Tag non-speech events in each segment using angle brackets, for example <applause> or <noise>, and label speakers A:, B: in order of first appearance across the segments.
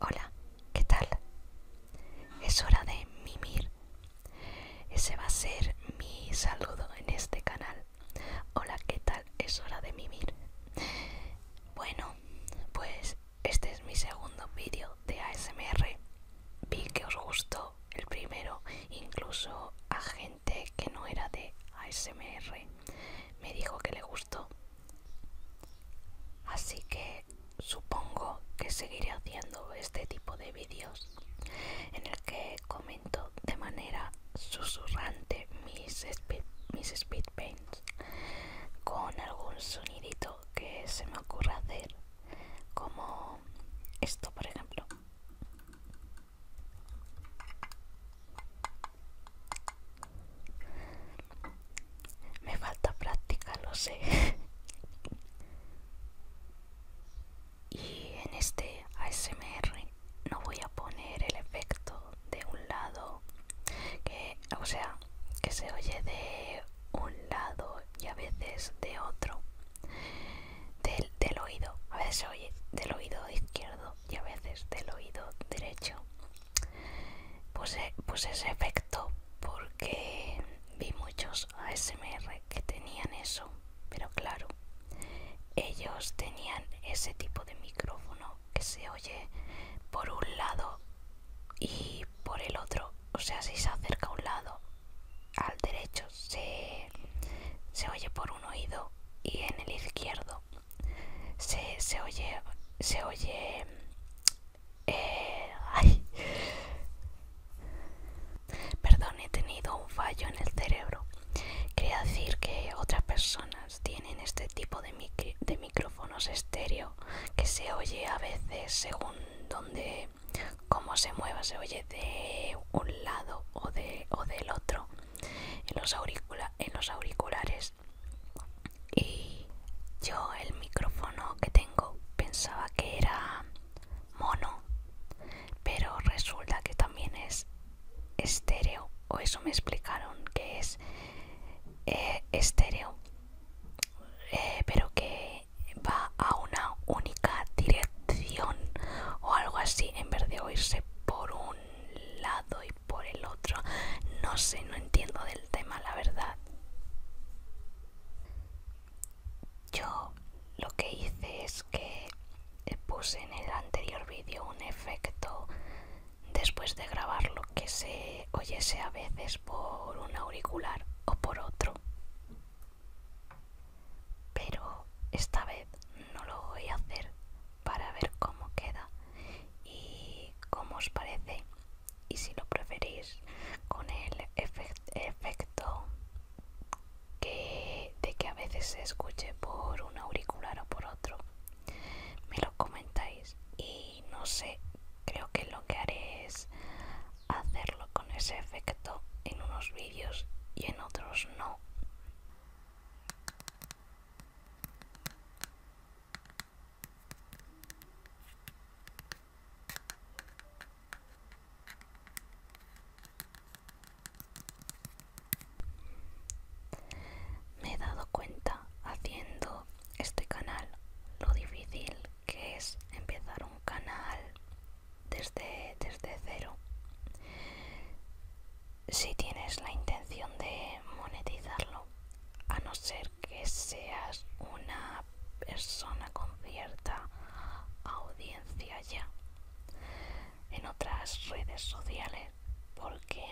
A: Hola, ¿qué tal? Es hora de mimir. Ese va a ser mi saludo en este canal. Hola, ¿qué tal? Es hora de mimir. Bueno, pues este es mi segundo vídeo de ASMR. Vi que os gustó el primero, incluso a gente que no era de ASMR. Me dijo que le gustó Así que supongo que seguiré haciendo este tipo de vídeos en el que comento de manera susurrante mis speed, con algún sonidito que se me ocurra hacer como esto por ejemplo me falta práctica, lo sé. y en este ASMR no voy a poner el efecto de un lado, que, o sea, que se oye de un lado y a veces de otro. Del, del oído, a veces se oye del oído izquierdo y a veces del oído derecho puse, ese efecto porque vi muchos ASMR que tenían eso, pero claro, ellos tenían ese tipo de micrófono que se oye por un lado y por el otro, o sea, si se acerca a un lado, al derecho se oye por un oído y en el izquierdo se, oye, se oye, eh, perdón, he tenido un fallo en el cerebro. Quería decir que otras personas tienen este tipo de, de micrófonos estéreo que se oye a veces según donde cómo se mueva, se oye de un lado o, de, o del otro. en los auriculares y yo el micrófono que tengo pensaba que era mono pero resulta que también es estéreo o eso me explicaron que es eh, estéreo eh, pero que va a una única dirección o algo así en vez de oírse por un lado por el otro. No sé, no entiendo del tema, la verdad. Yo lo que hice es que puse en el anterior vídeo un efecto después de grabarlo que se oyese a veces por un auricular o por otro. Pero esta vez no lo voy a hacer para ver cómo queda y cómo os parece y si lo preferís con el efecto que, de que a veces se escuche por un auricular o por otro me lo comentáis y no sé creo que lo que haré es hacerlo con ese efecto en unos vídeos y en otros no me he dado cuenta haciendo este canal lo difícil que es empezar un canal desde, cero si tienes la intención de monetizarlo, a no ser que seas una persona con cierta audiencia ya en otras redes sociales, porque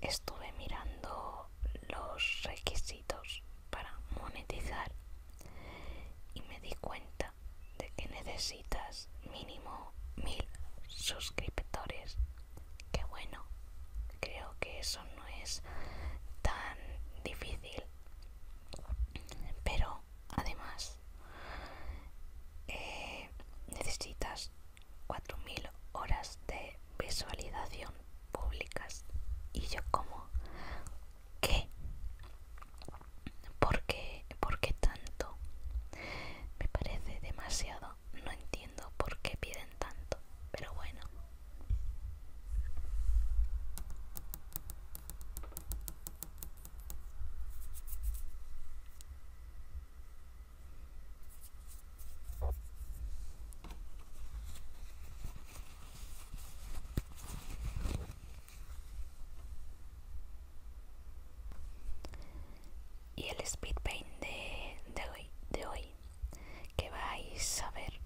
A: estuve mirando los requisitos para monetizar y me di cuenta de que necesito necesitas mínimo mil suscriptores. Que bueno, creo que eso no es tan difícil. Pero además eh, necesitas necesitas 4.000 horas de visualización públicas. Y yo como, ¿qué? ¿Por qué? ¿Por qué tanto? Me parece demasiado no entiendo por qué piden tanto, pero bueno y el speed paint de, hoy, de hoy que vais a ver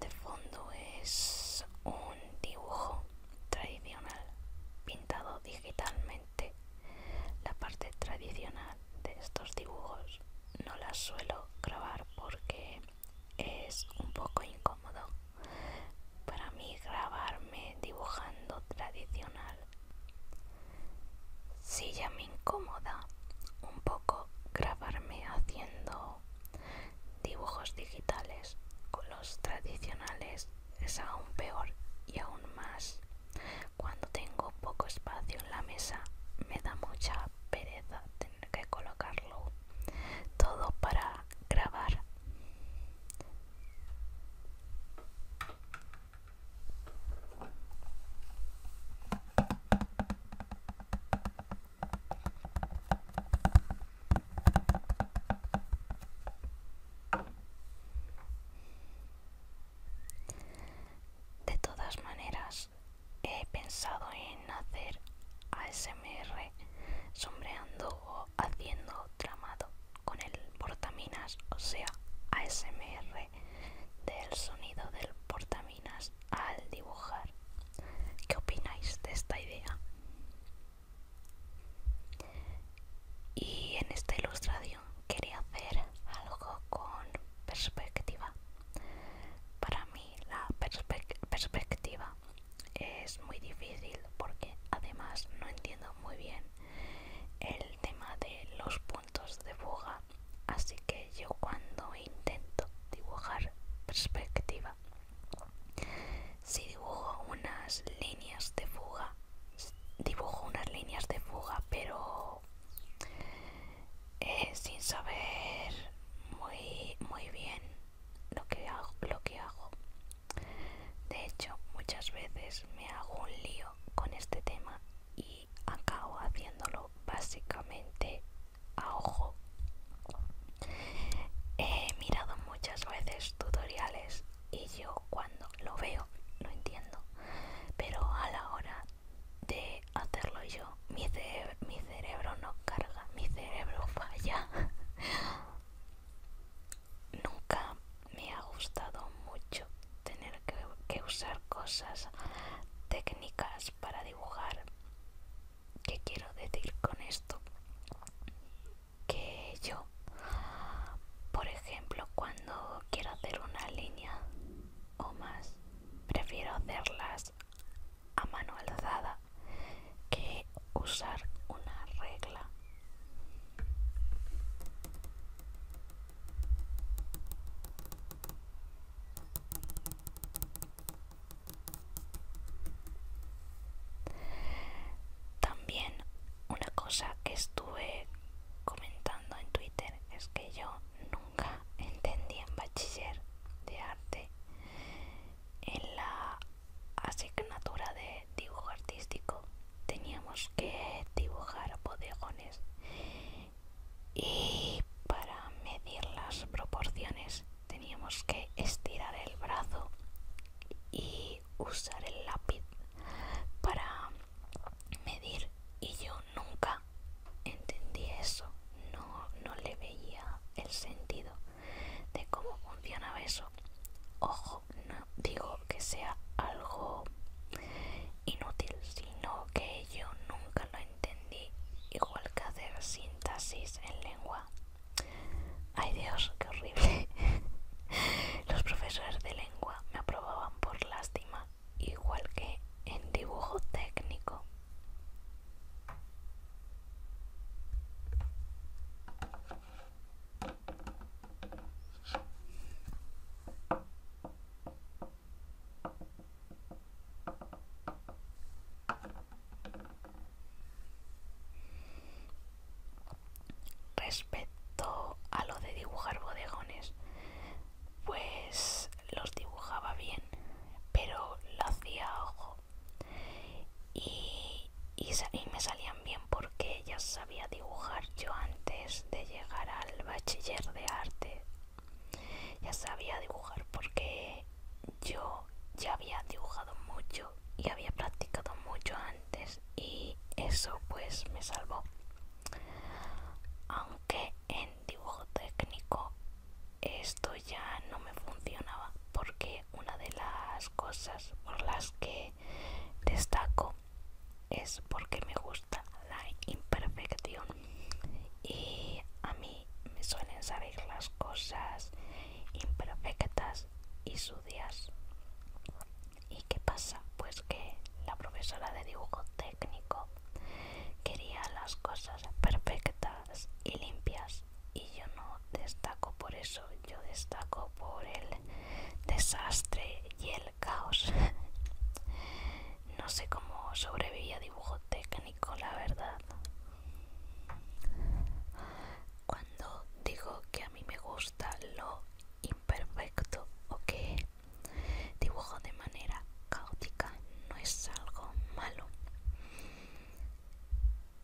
A: de fondo es un dibujo tradicional pintado digitalmente la parte tradicional de estos dibujos no la suelo grabar porque es un poco incómodo para mí grabarme dibujando tradicional. Si ya me incomoda un poco grabarme haciendo dibujos digitales con los tradicionales es aún peor y aún más. Cuando tengo poco espacio en la mesa me da mucha pereza tener que colocarlo todo para grabar de todas maneras, he pensado en hacer ASMR sombreando o haciendo tramado con el portaminas, o sea, ASMR, del sonido del portaminas al dibujar. ¿Qué opináis de esta idea? Y en esta ilustración quería hacer algo con perspectiva. Para mí la perspectiva es muy difícil porque además no entiendo muy bien el tema de los puntos de fuga así que yo cuando intento dibujar perspectiva si dibujo unas líneas de fuga dibujo unas líneas de fuga pero eh, sin saber muy muy bien lo que hago, lo que hago. De hecho, muchas veces me hago un lío con este tema y acabo haciéndolo básicamente a ojo. He mirado muchas veces tutoriales y yo cuando lo veo lo entiendo, pero a la hora de hacerlo yo, mi cerebro no carga, mi cerebro <laughs> falla. Nunca me ha gustado mucho tener que, usar cosas técnicas para dibujar. ¿Qué quiero decir con esto? Que yo, por ejemplo, cuando quiero hacer una línea o más, prefiero hacerlas a mano alzada que usar una regla. También una cosa que estuve comentando en Twitter es que yo nunca <laughs> entendí en bachiller de arte en la asignatura de dibujo artístico teníamos que dibujar bodegones y para medir las proporciones teníamos que estirar el brazo y usar el lápiz para medir y yo nunca entendí eso no, no le veía el sentido de cómo funcionaba eso. Ojo, no digo que sea algo inútil, sino que yo nunca lo entendí, igual que hacer síntesis en lengua. Ay Dios, qué horrible. <laughs> Los profesores de lengua me aprobaban por lástima, igual que en dibujo técnico. Respecto a lo de dibujar bodegones, pues los dibujaba bien, pero lo hacía ojo y, me salían bien porque ya sabía dibujar yo antes de llegar al bachiller de arte ya sabía dibujar porque yo ya había dibujado mucho y había practicado mucho antes y eso pues me salvó aunque en dibujo técnico estoy ya no me funcionaba porque una de las cosas por las que destaco es porque me gusta la imperfección y a mí me suelen salir las cosas imperfectas y sucias y qué pasa pues que la profesora de dibujo técnico quería las cosas perfectas y limpias y yo no destaco por eso, yo destaco por el desastre y el caos. no sé cómo sobrevivía dibujo técnico, la verdad. Cuando digo que a mí me gusta lo imperfecto o que dibujo de manera caótica, no es algo malo.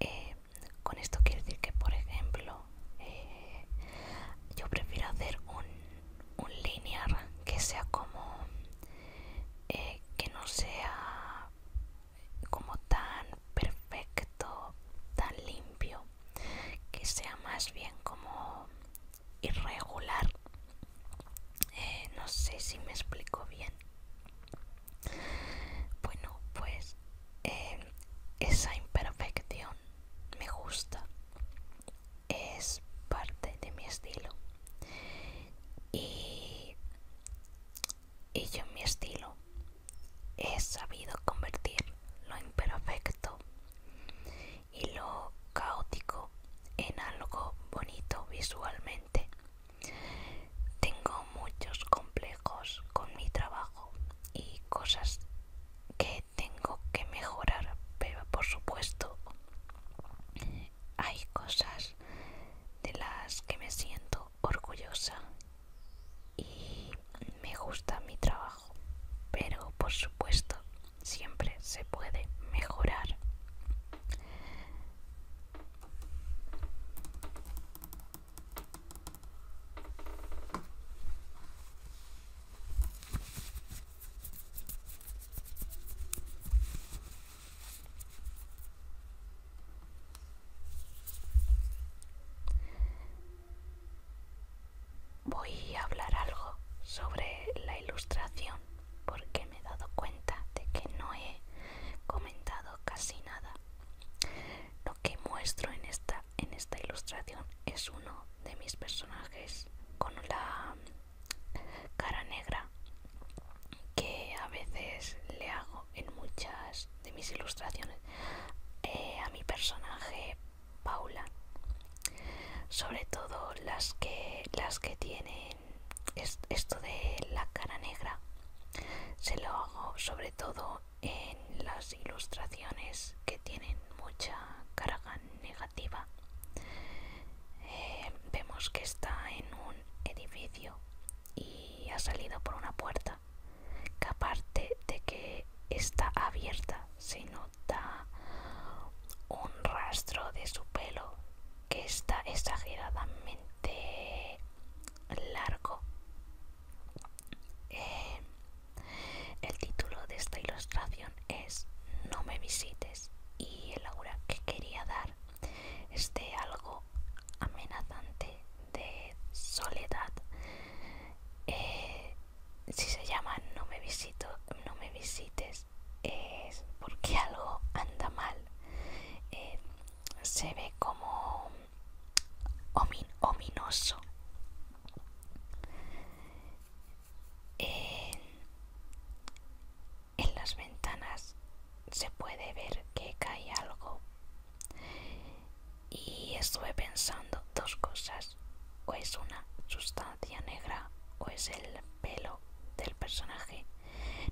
A: Eh, con esto quiero decir que, por ejemplo, eh, yo prefiero hacer un, un linear que sea como. Eh, que no sea como tan perfecto, tan limpio, que sea más bien como irregular. Eh, no sé si me explico bien. Bueno, pues eh, esa imperfección me gusta. Es parte de mi estilo. y yo en mi estilo he sabido convertir lo imperfecto y lo caótico en algo bonito visualmente tengo muchos complejos con mi trabajo y cosas que tengo que mejorar, pero por supuesto hay cosas de las que me siento orgullosa y me gusta mi trabajo, pero por supuesto siempre se puede mejorar. Voy a hablar algo sobre la ilustración porque me he dado cuenta de que no he comentado casi nada. Lo que muestro en esta, en esta ilustración es uno de mis personajes con la cara negra que a veces le hago en muchas de mis ilustraciones eh, a mi personaje Paula sobre todo las que las que tienen esto de la cara negra se lo hago sobre todo en las ilustraciones que tienen mucha carga negativa. Eh, vemos que está en un edificio y ha salido por una puerta que aparte de que está abierta se nota un rastro de su pelo que está exageradamente largo. Eh, el título de esta ilustración es No me visites y el aura que quería dar es de algo amenazante de soledad. Eh, si se llama No me visito, no me visites es porque algo anda mal. Eh, se ve como ominoso. en las ventanas se puede ver que cae algo y estuve pensando dos cosas o es una sustancia negra o es el pelo del personaje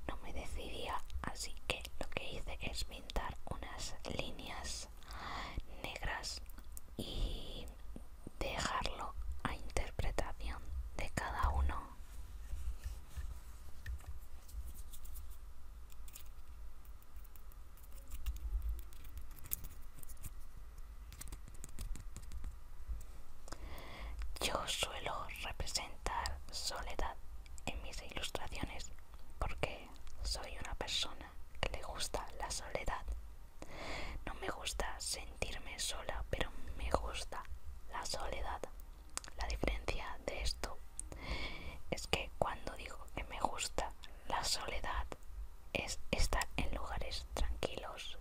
A: no me decidía así que lo que hice es pintar unas líneas negras y dejarlo a interpretación de cada uno yo suelo representar soledad en mis ilustraciones porque soy una persona que le gusta la soledad. No me gusta sentirme sola, pero me gusta la soledad. La diferencia de esto es que cuando digo que me gusta la soledad es estar en lugares tranquilos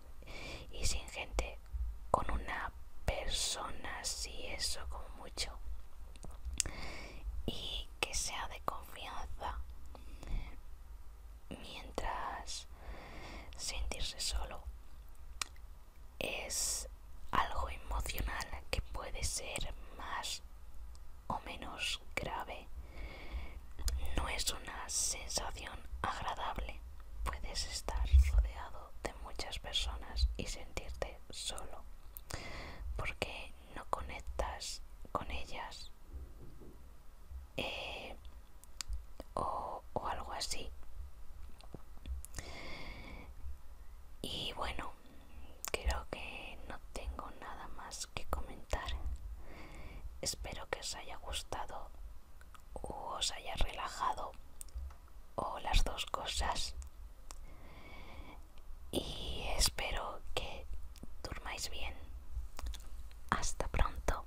A: y sin gente, con una persona, si eso como mucho, y que sea de confianza, mientras sentirse solo es algo emocional que puede ser más o menos grave. No es una sensación agradable, puedes estar rodeado de muchas personas y sentirte solo porque no conectas con ellas eh, o algo así y bueno creo que no tengo nada más que comentar espero que os haya gustado o os haya relajado o las dos cosas. Y espero que durmáis bien. Hasta pronto.